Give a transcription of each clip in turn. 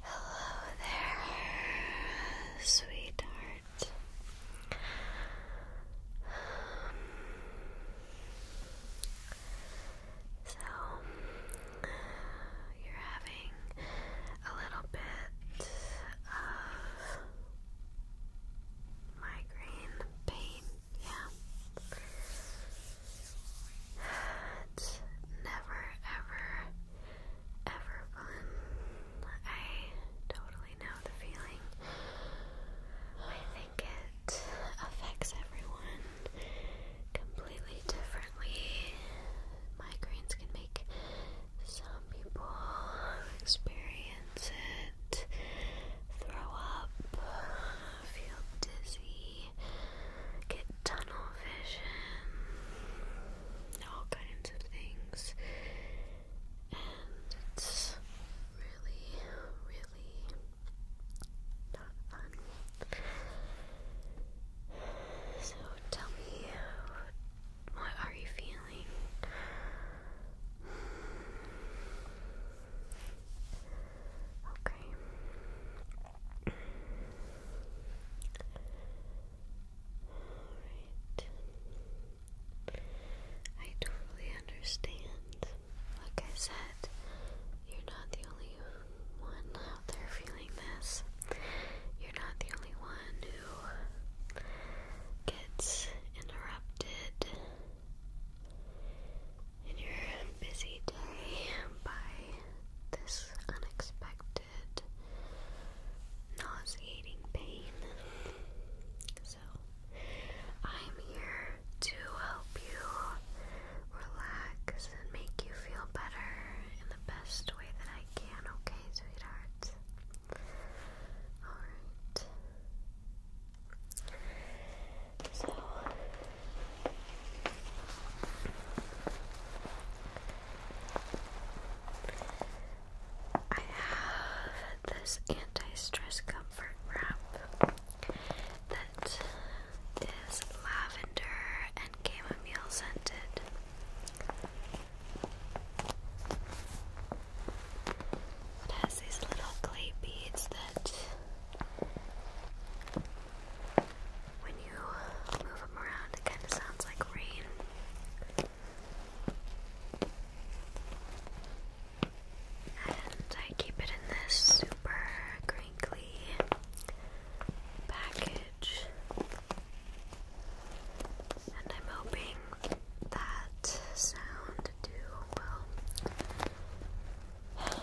Hello there, sweetheart. so, you're having a little bit of migraine pain, yeah. It's never, ever, ever fun. I totally know the feeling. I think it affects everyone completely differently. Migraines can make some people experience it, throw up, feel dizzy get tunnel vision, all kinds of things, and it's really, really not fun. So tell me, what are you feeling? Okay. Alright. I totally understand. Like I said, you're not the only one out there feeling this. You're not the only one who gets interrupted in your busy day by this unexpected nauseating pain. So, I'm here to help you relax and make you feel better in the best way that I can, okay, sweetheart? Alright. So, I have this anti-stress comfort wrap that is lavender and chamomile scented. It has these little clay beads that when you move them around, it kind of sounds like rain. And I keep it in this super crinkly package. And I'm hoping that sound too will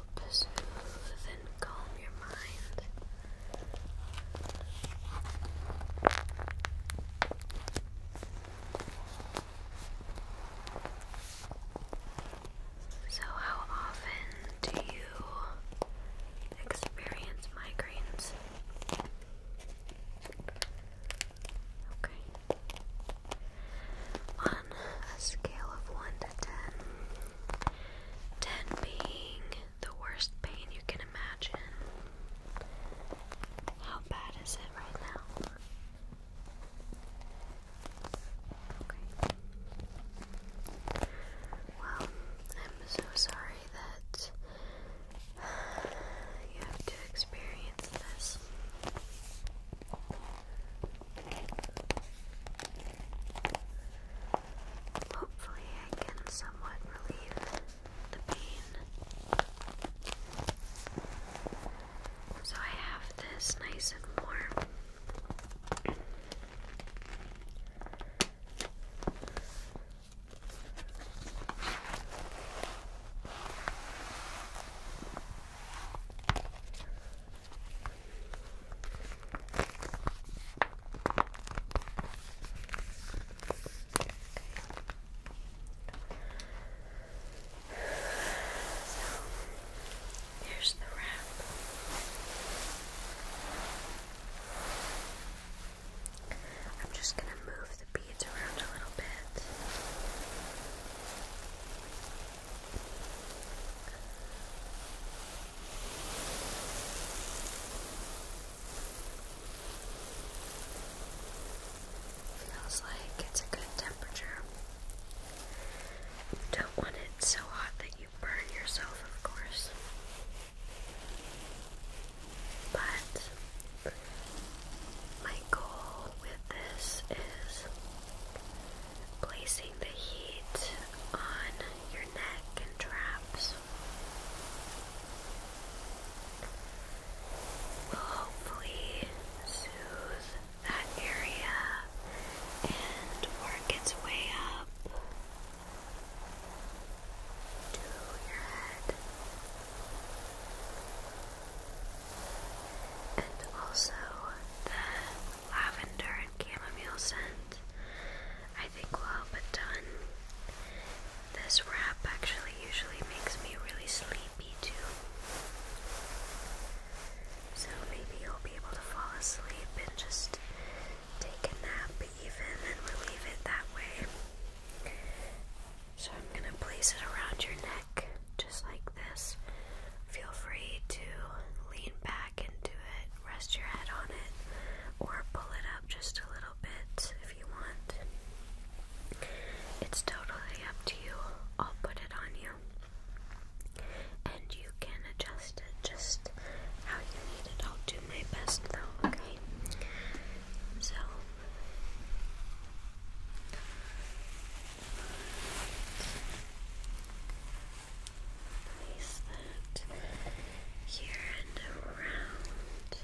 help smooth and calm your mind. So, how often do you experience migraines? Okay. On a scale of 1 to 10, 10 being the worst pain you can imagine. How bad is it right now? Okay. Well, I'm so sorry that you have to experience this. Hopefully, I can somewhat relieve the pain. So I have this nice and warm. So here's the wrap. I'm just going to move the beads around a little bit. Feels like it's a good temperature. Don't want it so hot that you burn yourself, of course. But my goal with this is placing the heat on your neck and traps will hopefully soothe that area and work its way up to your head and also the lavender and chamomile scent. I think will help a ton. This wrap actually usually makes me really sleepy too. So maybe you'll be able to fall asleep and just take a nap even and relieve it that way. So I'm going to place it around your neck just like this. Feel free to lean back back do it, rest your head on it, or pull it up just a little bit if you want. It's totally up to you. I'll put it on you. And you can adjust it just how you need it. I'll do my best though, okay? So. Place that here and around.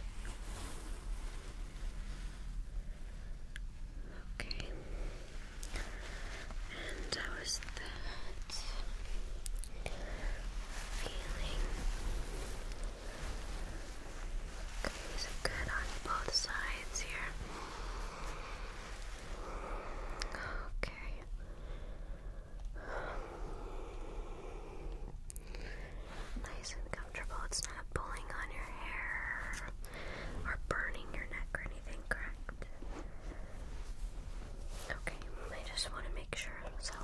Okay. And how is that feeling? Okay, good on both sides here. Okay. Nice and comfortable. It's not pulling on your hair or burning your neck or anything, correct? Okay, I just want to make sure so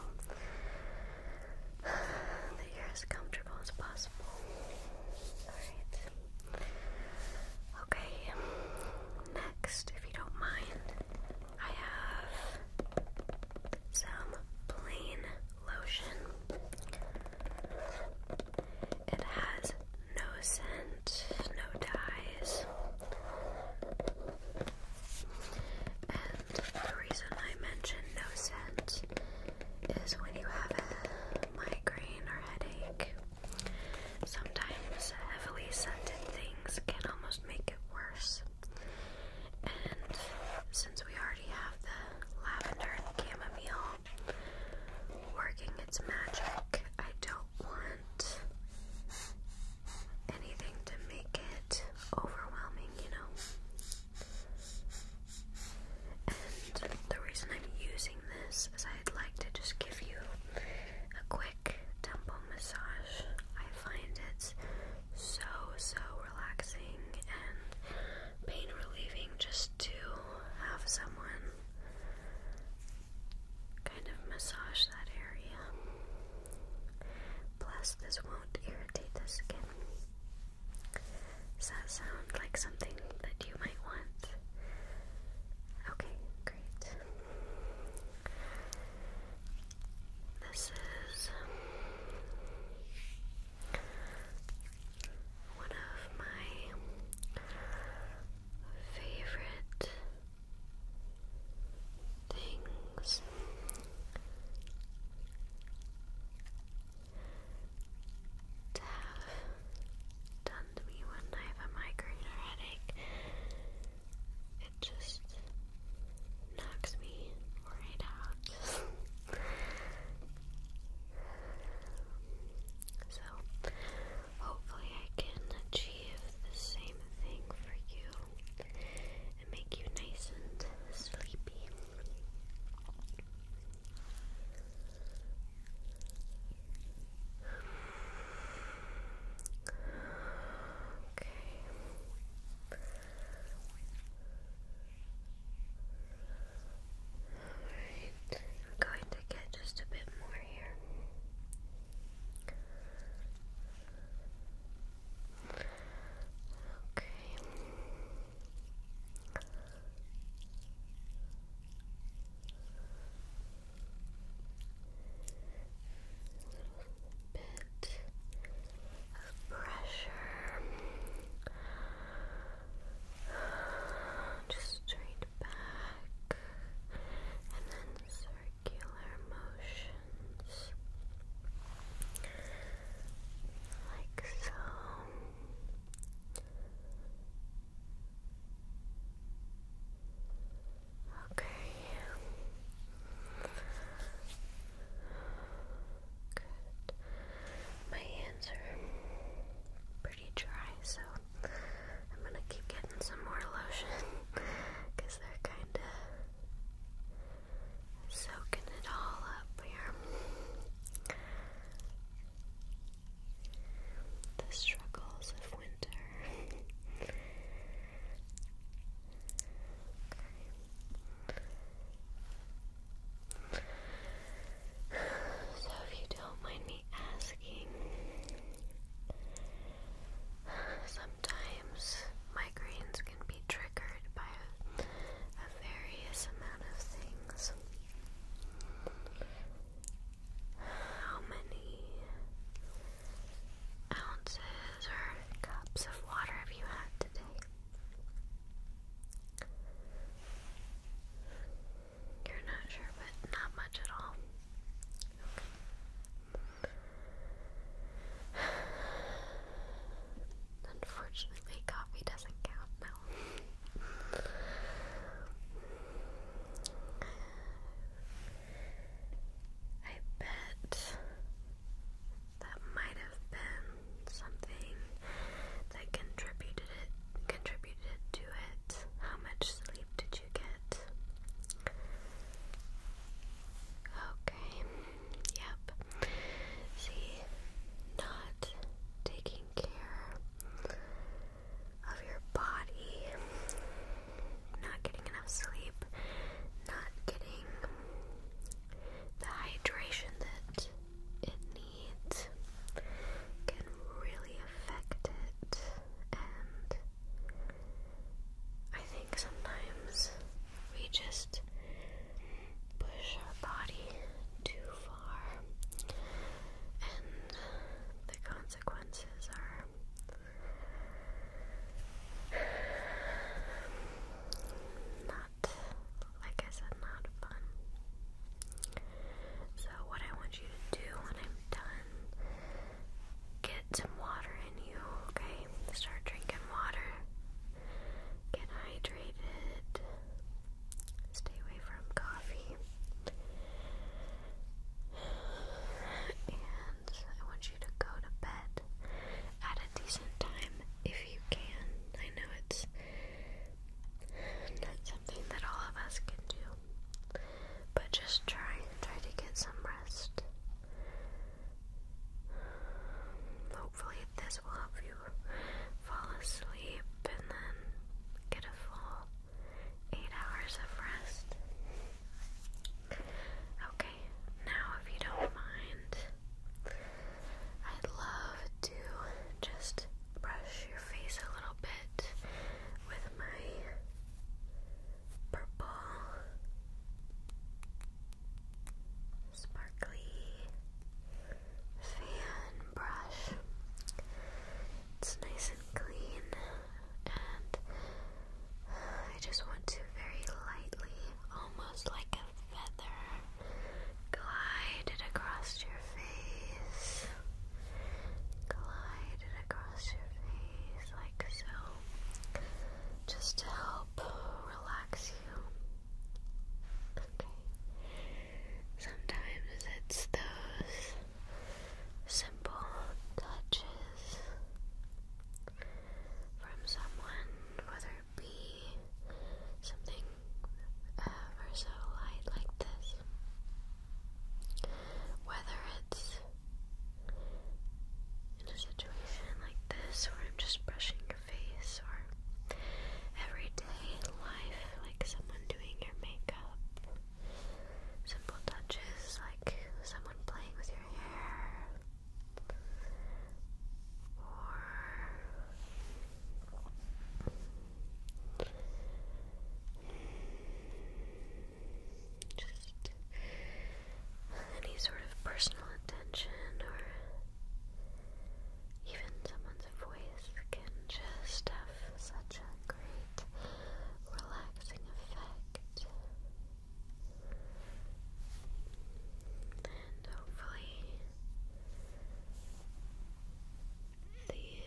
that you're as comfortable as possible. Alright. Okay, next, if you don't mind, I have some plain lotion. It has no scent, no dyes. And the reason I mention no scent is when you have a migraine or headache Sometimes heavily scented things can almost make it worse. And since we already have the lavender and chamomile working its magic, I don't want anything to make it overwhelming, you know? And the reason I'm using this is I'd like to just give you a quick temple massage. I find it so, so relaxing and pain relieving just to have someone kind of massage that area. Plus, this won't irritate the skin. Does that sound like something that you might want? Okay, great. This is one of my favorite things. To have done to me when I have a migraine or headache, it just knocks me right out. so, hopefully, I can achieve the same thing for you and make you nice and sleepy. Okay. Alright, I'm going to get just a bit more here. Okay little bit of pressure. Just straight back and then circular motions like so. Okay. Good. My hands are pretty dry, so I'm gonna keep getting some more lotion because they're kind of soaking it all up here. The struggles so, if you don't mind me asking, sometimes migraines can be triggered by a, a various amount of things. How many ounces or cups of water have you had today? You're not sure, but not much at all. Unfortunately, coffee doesn't count now. I bet that might have been something that contributed it contributed to it. How much sleep did you get? Okay. Yep. See, not taking care of your body not getting enough sleep, not getting the hydration that it needs can really affect it. And I think sometimes we just push our body too far, and the consequences are not, like I said, not fun. So, what I want you to do when I'm done, get some water in you, okay? Start drinking water, get hydrated, stay away from coffee. I want you to go to bed at a decent time if you can. I know it's not something that all of us can do, but just try try to get some rest. Hopefully, this will help you fall asleep and then get a full eight hours of rest. Okay, now if you don't mind, I'd love to just brush your face a little bit with my purple sparkly fan brush. It's nice and clean and I just want to very lightly, almost like a feather, glide it across your face. Glide it across your face like so, just to help relax you. Okay. Sometimes it's those simple touches from someone, whether it be something ever so light like this, whether it's in a situation like this where I'm just brushing your face or everyday life, like someone doing your makeup. Simple touches like someone playing with your hair or just any sort of personal attention or even someone's voice can just have such a great relaxing effect. And hopefully, these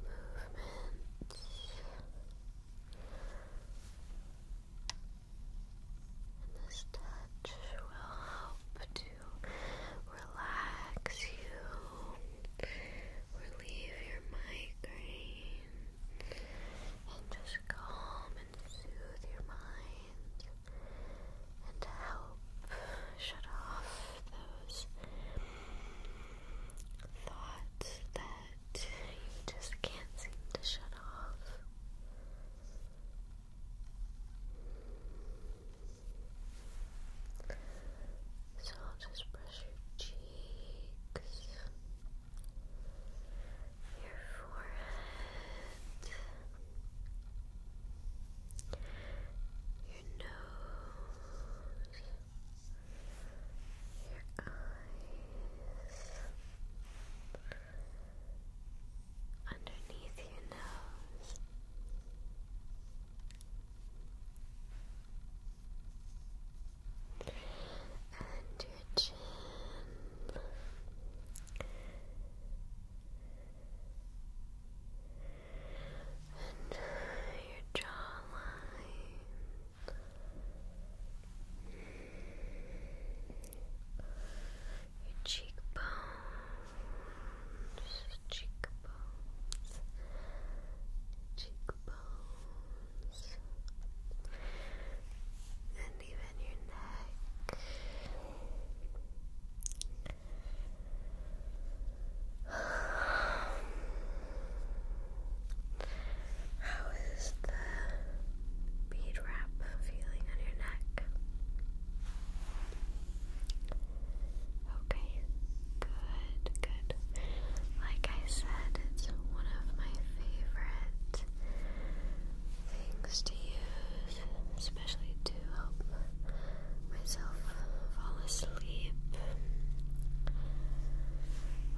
movements and this touch will help to relax you relieve your migraine and just calm and soothe your mind and help shut off those thoughts that you just can't seem to shut off. So I'll just brush your cheeks cheeks, your forehead, your nose, your eyes, underneath your nose and your chin. And your jawline, your cheekbones, cheekbones, cheekbones, and even your neck. How is the bead wrap feeling on your neck? Okay, Good, good. Like I said, it's one of my favorite things to use, especially to help myself fall asleep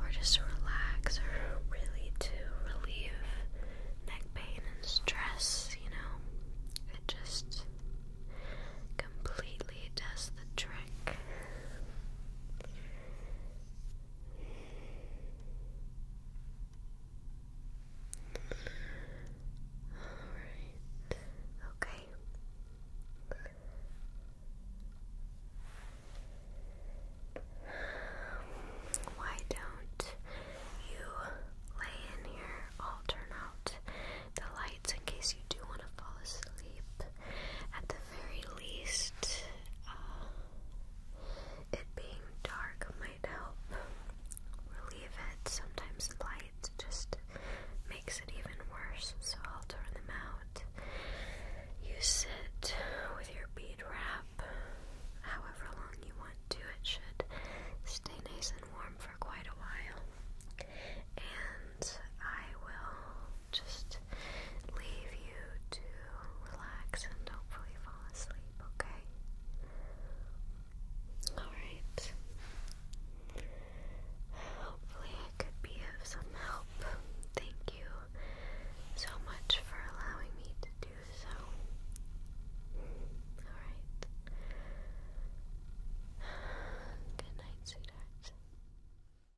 or just relax or really to relieve neck pain and stress, you know. It just completely does the trick. Alright. Okay. Why don't you lay in here? I'll turn out the lights in case you do want to fall asleep at the very least, uh, it being dark might help relieve it. Sometimes light just makes it even worse, so I'll turn them out. You sit with your bead wrap however long you want to. It should stay nice and warm for quite a while. And I will just leave you to relax and hopefully fall asleep, okay? Alright. Hopefully, I could be of some help. Thank you so much for allowing me to do so. Alright. Good night, sweetheart.